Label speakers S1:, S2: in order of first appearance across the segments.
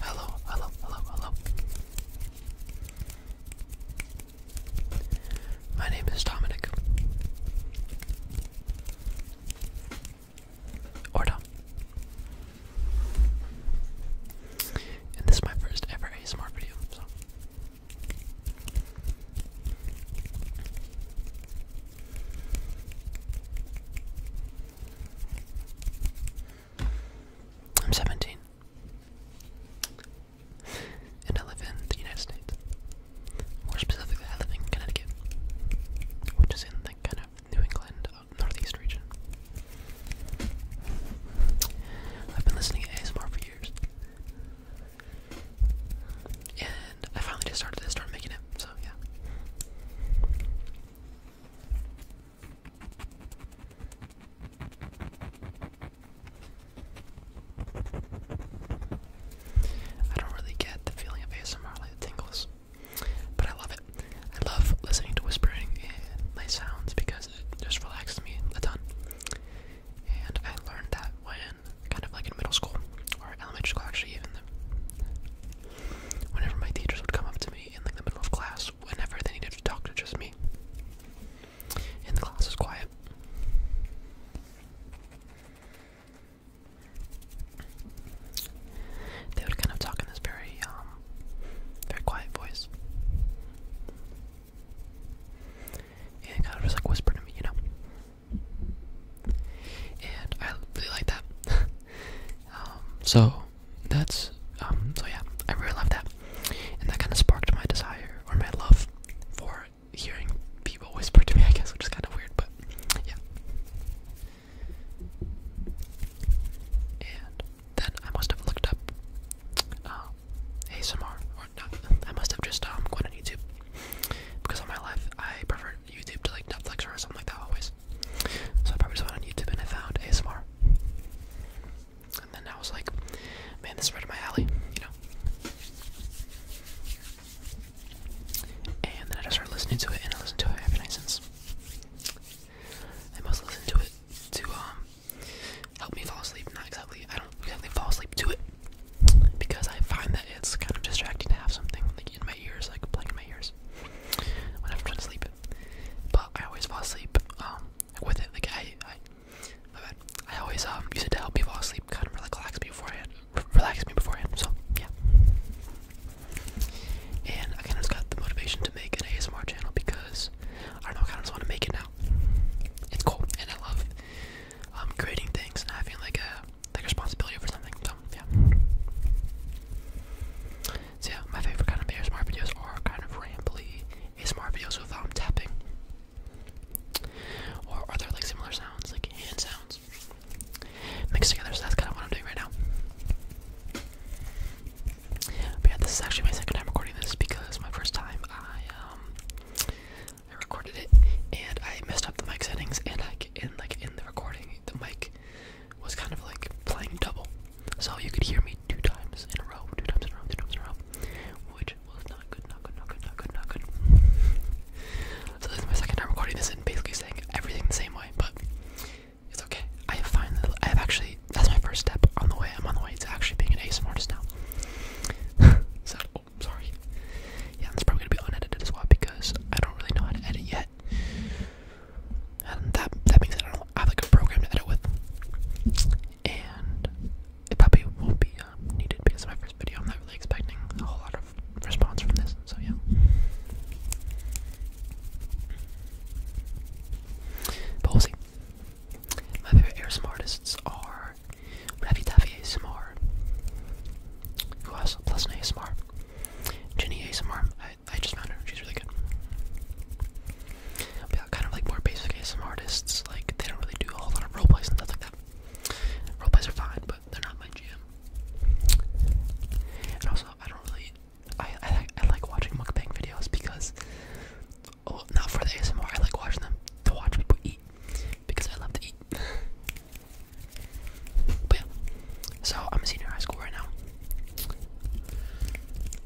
S1: Hello, hello, hello, hello. My name is Dominic. Or Dom. And this is my first ever ASMR video, I'm 17. And I live in the United States. More specifically, I live in Connecticut, which is in the kind of New England uh, Northeast region. I've been listening to ASMR for years. And I finally just started to start making it, so yeah. I don't really get the feeling of ASMR like tingles, but I love it. I love listening to whispering and nice sounds because it just relaxes me a ton. And I learned that when, kind of like in middle school or elementary school, actually, even the, whenever my teachers would come up to me in like the middle of class whenever they needed to talk to just me. And the class was quiet. They would kind of talk in this very, um, very quiet voice. And kind of just like whisper to me, you know? And I really like that. Um, so that's um, so yeah i really love that and that kind of sparked my desire or my love for hearing people whisper to me i guess which is kind of weird but yeah and then i must have looked up uh, um, asmr or not i must have just um gone on youtube because all my life i prefer youtube to like netflix or something like that always so I probably just went on YouTube and I found ASMR. And then I was like, man, this is right in my alley, you know? And then I just started listening to it, and I listened to it every night since. I must listen to it to um, help me fall asleep. Not exactly. I don't exactly fall asleep to it because I find that it's kind of distracting to have something like in my ears, like playing in my ears when I'm trying to sleep but I always fall asleep um, with it. Like I, I, my bad. I always um, use it to help me fall asleep, kind of relax me beforehand. R relax me beforehand. So yeah. And I kind of got the motivation to make an ASMR channel because I don't know, I just want to make it now. It's cool, and I love um, creating things and having like a like responsibility for something. So yeah. So yeah, my favorite kind of ASMR videos are kind of rambly ASMR videos with thumb tapping. Or other like similar sounds, like hand sounds mixed together? So that's kind of what I'm doing right now. But yeah, this is actually my second time recording this because my first time I um, I recorded it and I messed up the mic settings and I in like in the recording the mic was kind of like playing double. So you could hear me two times in a row, two times in a row, two times in a row, which was not good, not good, not good, not good, not good. so this is my second time recording this and basically saying everything the same way, but it's okay. I have finally, I have actually, that's my first step on the way. I'm on the way to actually being an ASMR artist now. so, oh, sorry. Yeah, this is probably gonna be unedited as well because I don't really know how to edit yet and that that means I don't have like a program to edit with, and it probably won't be um, needed because of my first video. I'm not really expecting a whole lot of response from this, so yeah. But My favorite ASMR artists are Ravi Taffy ASMR, who also plus an ASMR, Ginny ASMR. I, just found her. She's really good. yeah, kind of like more basic ASMR artists. Like they don't really do a whole lot of role and stuff like that. Role are fine, but they're not my jam. And also, I don't really. I I like watching mukbang videos because. Oh, not for the ASMR. I like watching them to watch people eat because I love to eat. but so I'm a senior high school right now.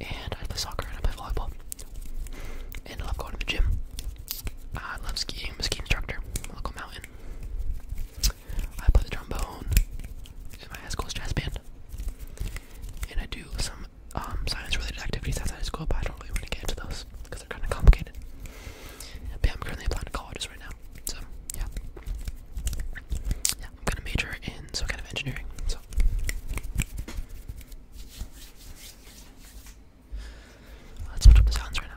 S1: And I play soccer and I play volleyball. And I love going to the gym. I love skiing. I'm a ski instructor. A local mountain. I play the trombone in my high school's jazz band. And I do some um, science-related activities outside of school, but I don't really want to get into those because they're kind of complicated. But I'm currently applying to colleges right now, so Yeah, I'm gonna major in some kind of engineering. So let's put up the sounds right now.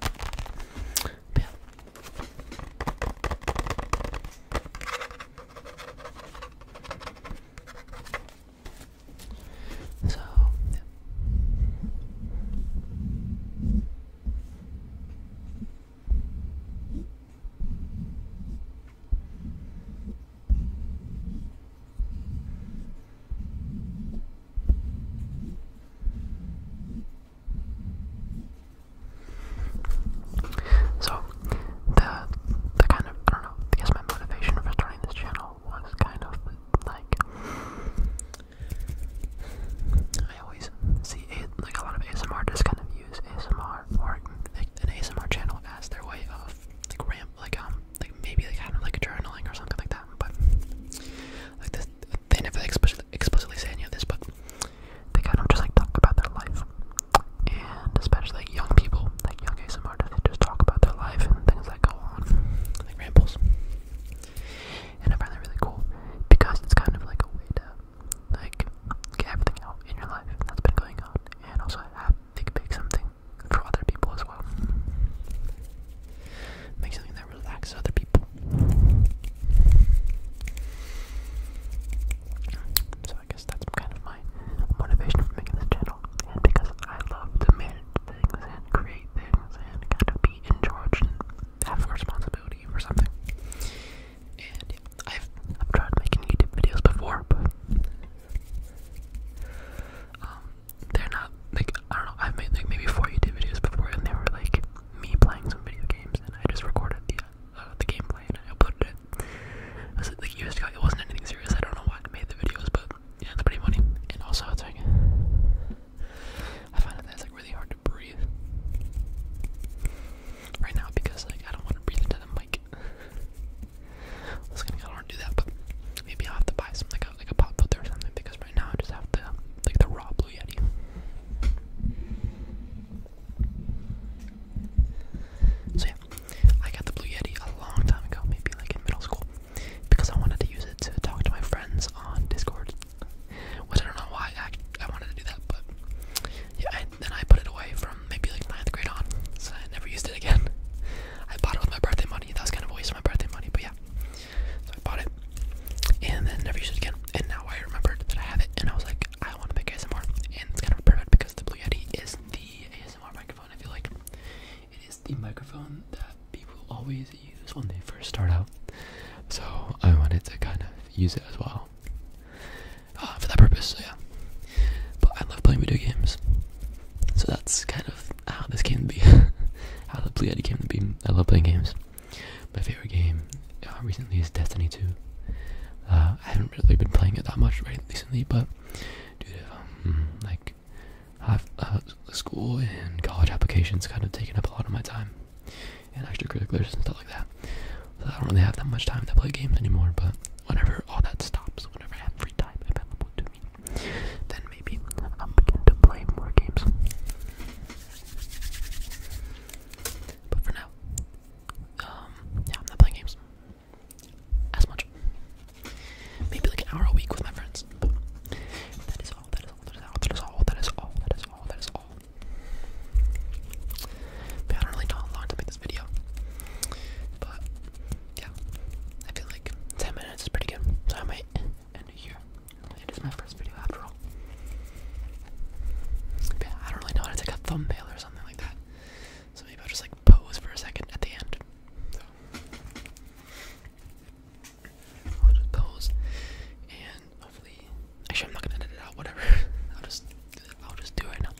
S1: But yeah. So yeah. So, the the kind of I don't know. I guess my motivation for starting this channel was kind of like I always see a, like a lot of ASMR artists kind of use ASMR or an ASMR channel as their way of like ramp like um like maybe like kind of like journaling or something like that. But like this they never explicitly, explicitly say any of this, but they kind of just like talk about their life, and especially like young people, like young ASMR artists, they just talk about their life and things that go on, like rambles. And I find that really cool because it's kind of like a way to like get everything out in your life that's been going on, and also have think make something for other people as well. Make something that relax other people. So I guess that's kind of my motivation for making this channel, because I love to manage things and create things and kind of be in charge have responsibility for something. And I've I've tried making YouTube videos before, but um, they're not like I don't know. I've made like maybe four YouTube videos before, and they were like me playing some video games, and I just recorded the uh, the gameplay and I uploaded it. like years ago. It wasn't anything serious. I don't know why I made the videos, but yeah, it's pretty funny. And also, I it's like I find that that's like really hard to breathe right now because like I don't want to breathe into the mic. I was gonna kind of do that, but maybe I'll have to buy some like a like a pop filter or something because right now I just have the like the raw Blue Yeti. So yeah, I got the Blue Yeti a long time ago, maybe like in middle school, because I wanted to use it to talk to my friends on Discord. Which I don't know why I, I wanted to do that, but yeah, I, then I put it away from maybe like ninth grade on, so I never used it again. I bought it with my birthday money. That was kind of a waste of my birthday money, but yeah bought it and then never used it again. And now I remembered that I have it, and I was like, I want to make ASMR. And it's kind of perfect because the Blue Yeti is the ASMR microphone. I feel like it is the microphone that people always use when they first start out. So I wanted to kind of use it as well uh, for that purpose. So yeah, but I love playing video games. So that's kind of how this came to be, how the Blue Yeti came to be. I love playing games. My favorite game uh, recently is Destiny 2. Uh, I haven't really been playing it that much right recently, but um, like have uh, school and college applications kind of taken up a lot of my time and extracurriculars and stuff like that. So I don't really have that much time to play games anymore. But whenever all that stops, whenever I have free time available to me, then maybe I'll begin to play more games. But for now, um, yeah, I'm not playing games as much. Maybe like an hour a week with my friends. that is all. That is all. That is all. That is all. That is all. That is all. But I do really know long to make this video. But yeah, I feel like ten minutes is pretty good. So I might end here. It is my first video after all. I don't really know how to take a thumbnail or something like that. So maybe I'll just like pose for a second at the end. just pose and hopefully I'm not gonna out, whatever. I'll just I'll just do it now.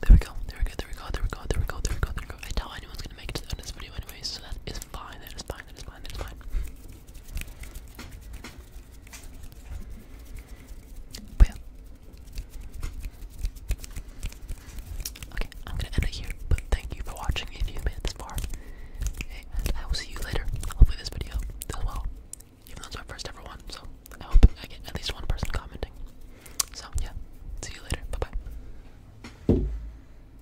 S1: There we go, there we go, there we go, there we go, there we go, there we go, there we go. I doubt anyone's gonna make it to the end of this video anyway, so that is is fine, that is fine, that is fine, that is fine. But Okay, I'm gonna end it here, but thank you for watching if you made it this far. I will see you later. Hopefully this video does well. Even though it's my first ever one, so I hope I get at least one person commenting. So yeah, see you later. Bye bye.